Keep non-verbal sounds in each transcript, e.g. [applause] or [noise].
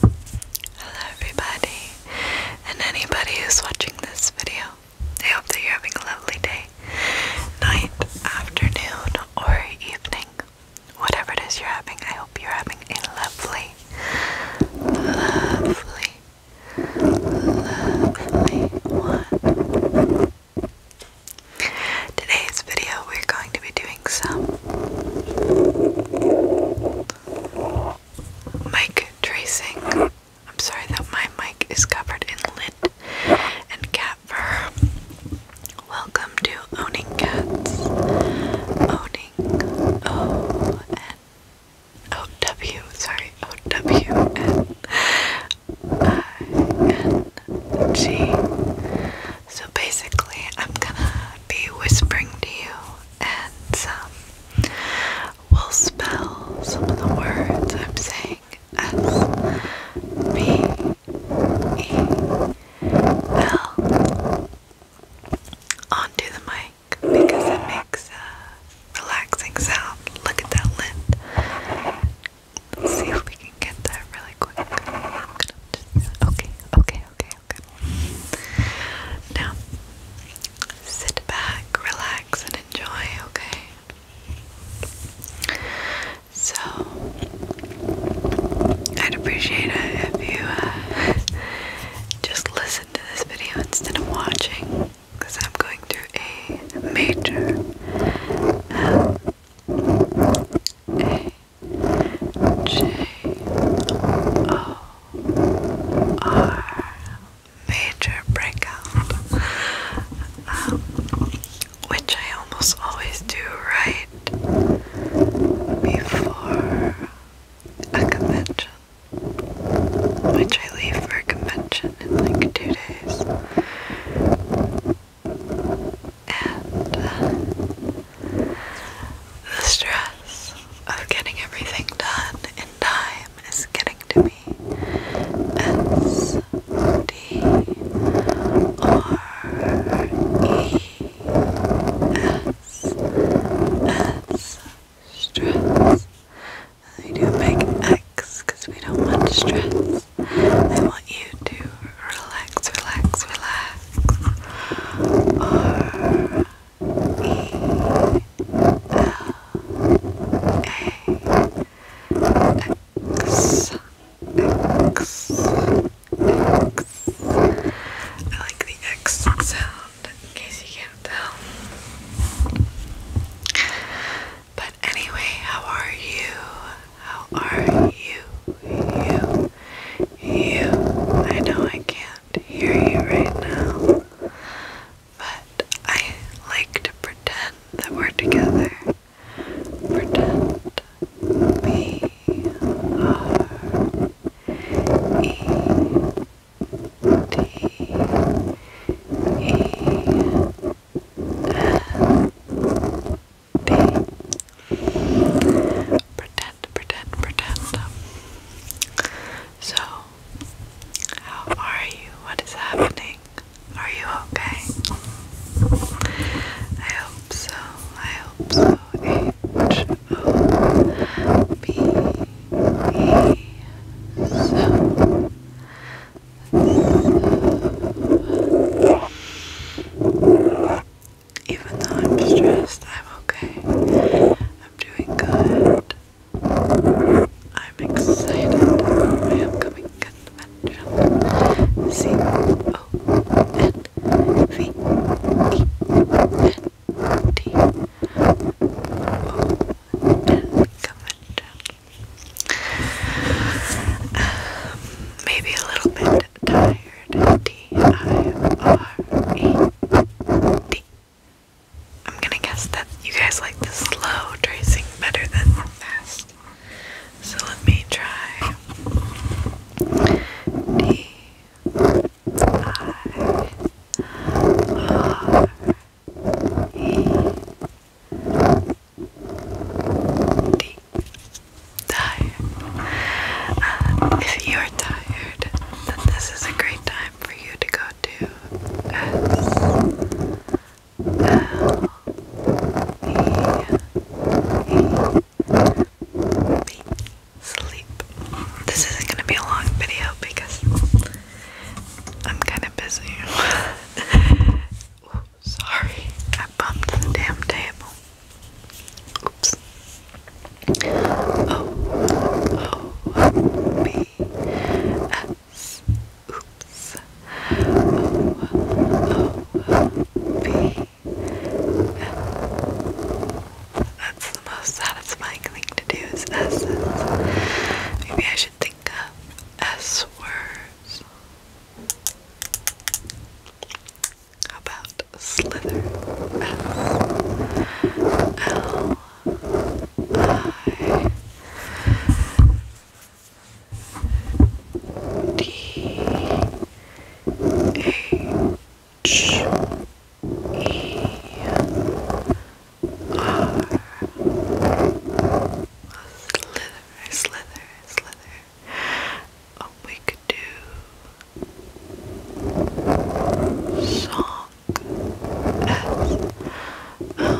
Hello everybody and anybody who's watching this video. I hope that you're having a lovely day, night, afternoon, or evening. Whatever it is you're having, I hope you're having a lovely, lovely, lovely one. Today's video, we're going to be doing some mic tracing. I'm sorry that my mic is covered in lint and cat fur. Welcome to Owning Cats. Owning O N O W, sorry, O W N I N G. So basically, I'm gonna be whispering to you, and um, we'll spell some of the words I'm saying as onto the mic because it makes a relaxing sound. Look at that lid. Let's see if we can get that really quick. Okay, okay, okay, okay. Now, sit back, relax, and enjoy, okay? So, I'd appreciate it if you uh, just listen to this video instead of watching, because I'm going through a major. Uh, a J O R major breakout, um, which I almost always do right before a convention, which I leave for a convention in like two days and the stress of getting everything done in time is getting to me S D R E S S stress. And we do a big X because we don't want stress. I want you to relax, relax, relax. R E L A X X X. I like the X sound in case you can't tell. But anyway, how are you? How are you? You? You? I know I can't hear you right now, but I like to pretend that we're together. Pretend. B R E D E Pretend, pretend, pretend. So, how are you? What is happening? Are you okay? I hope so. I hope so. H O B E so even though I'm stressed, I'm okay. I'm doing good. I'm excited for my upcoming convention. C O N V E N T O oh, N convention maybe a little bit tired. T I R E D. I'm gonna guess that you guys like the slow tracing better than fast. So let me try. D I R uh, if you're tired, then this is a great time for you to go to sleep. This isn't going to be a long video because I'm kind been busy. [laughs] sorry, I bumped the damn table. Oops. O O B S. Oops. O O B. That's the most satisfying likely to do is S's. Maybe I should think of S words. How about slither? S L I D H Slither, Oh, we could do song S O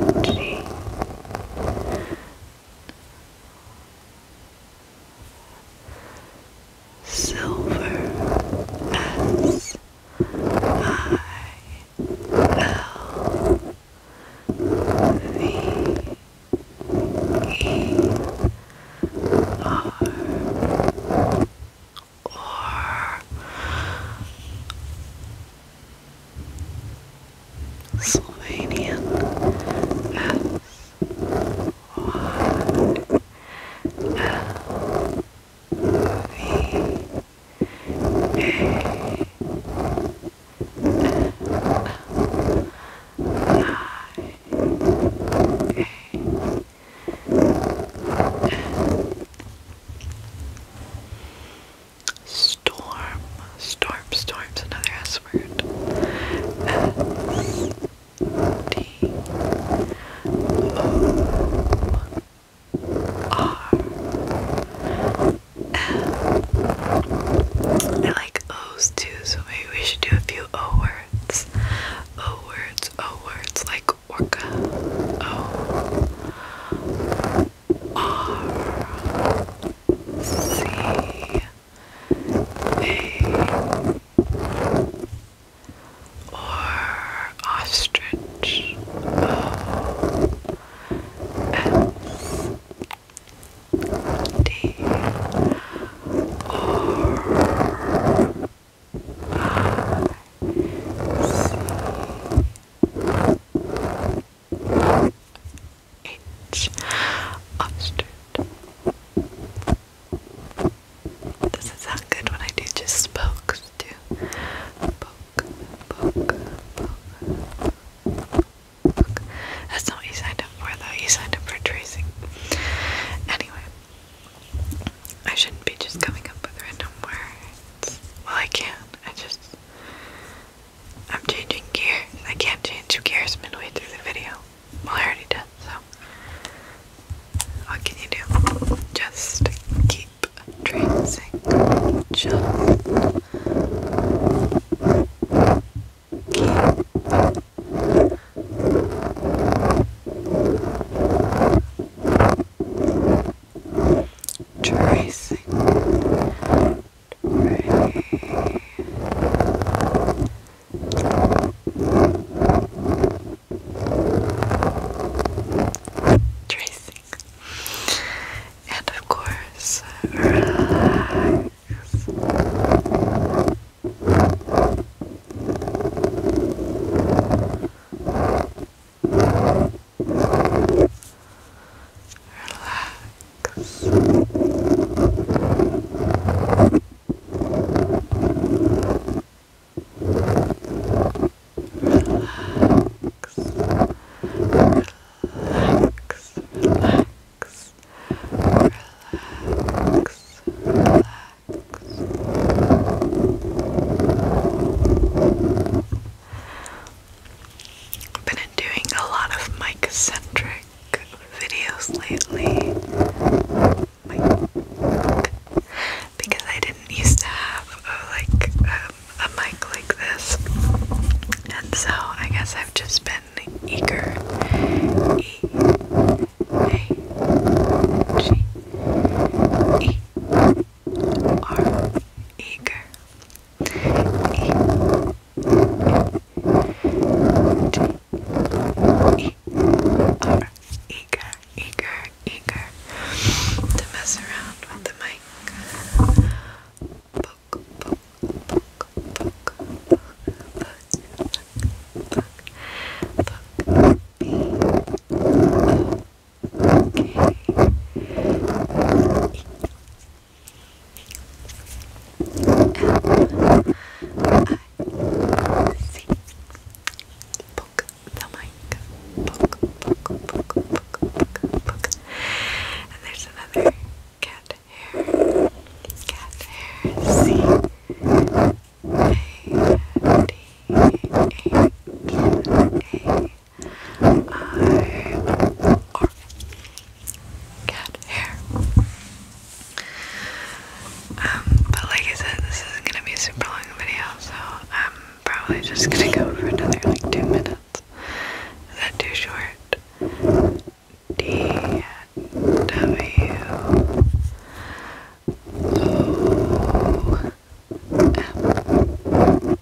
N G silver S I L V E R or Slovenian S one, Storm, storm, storm's another S word. S D O R L. I like O's too, so maybe we should do a few O words. O words, O words, like orca. O R C a or ostrich o s d H. Ostrich. Doesn't good when I do just Poke, poke, poke, poke. That's not what you signed up for though, you signed up for tracing. Anyway, I shouldn't be just coming up with random words. Well, I can, I just. I'm changing gears. I can't change gears midway through the video. Well, I already did, so. What can you do? Just keep tracing. Just keep. Tracing, Tracing. And of course, relax. Relax relax, relax, relax, relax. I've been doing a lot of mic centric videos lately. Like, because I didn't used to have a, like um, a mic like this, and so I guess I've just been eager are eager, eager, eager to mess around with the mic. Poke, poke, poke, poke, poke, poke, poke, poke, B O K E C Poke the mic. Poke, poke, poke, poke, poke, And there's another cat hair. Cat hair. C A D H A um, but like I said, this isn't gonna be a super long video, so I'm probably just gonna go for another like two minutes. Is that too short? D W O M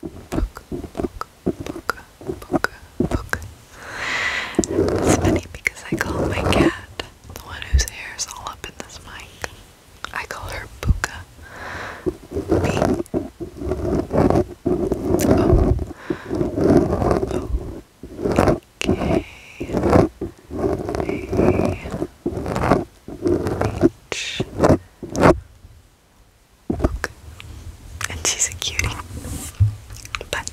book, book, book, book, book. It's funny because I call my cat, the one whose hair is all up in this mic, I call her Buka. B. O. O. K. A. And she's a cutie. But,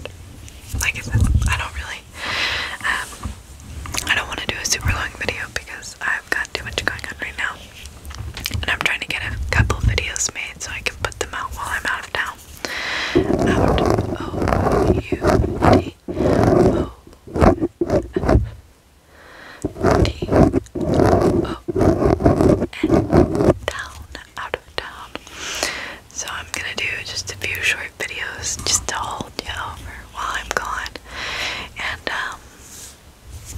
like I said, I don't really, um, I don't want to do a super long video because I've got too much going on right now. And I'm trying to get a couple videos made so I can put them out while I'm out of town. D O N down out of town. So I'm gonna do just a few short videos just to hold you over while I'm gone. And um,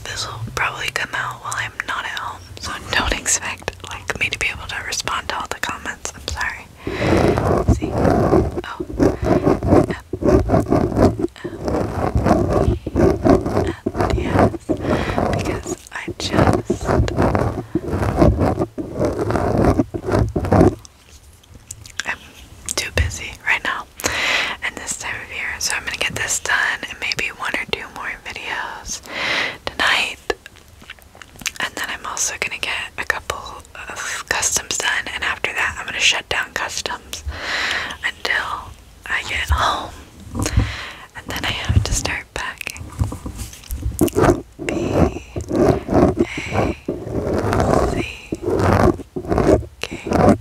this will probably come out while I'm not at home, so don't expect like me to be able to respond to all the comments. I'm sorry. See? Oh because I just I'm too busy right now, and this time of year, so I'm gonna get this done and maybe one or two more videos tonight. And then I'm also gonna get a couple customs done, and after that, I'm gonna shut down customs until I get home, and then I have to start packing. B A C K I N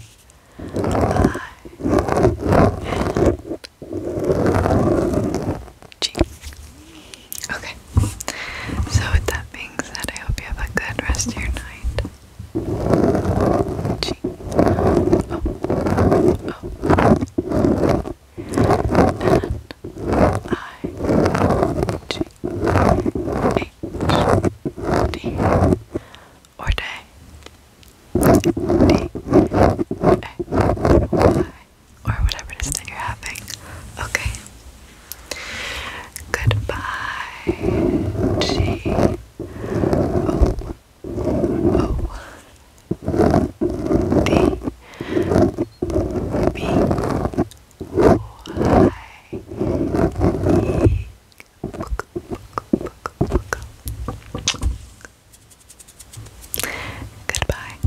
G. Okay. So with that being said, I hope you have a good rest of your night. Gee. or day D A Y or whatever it is that you're having. Okay. Goodbye, G. O. O. D. B. O. I. E. Goodbye.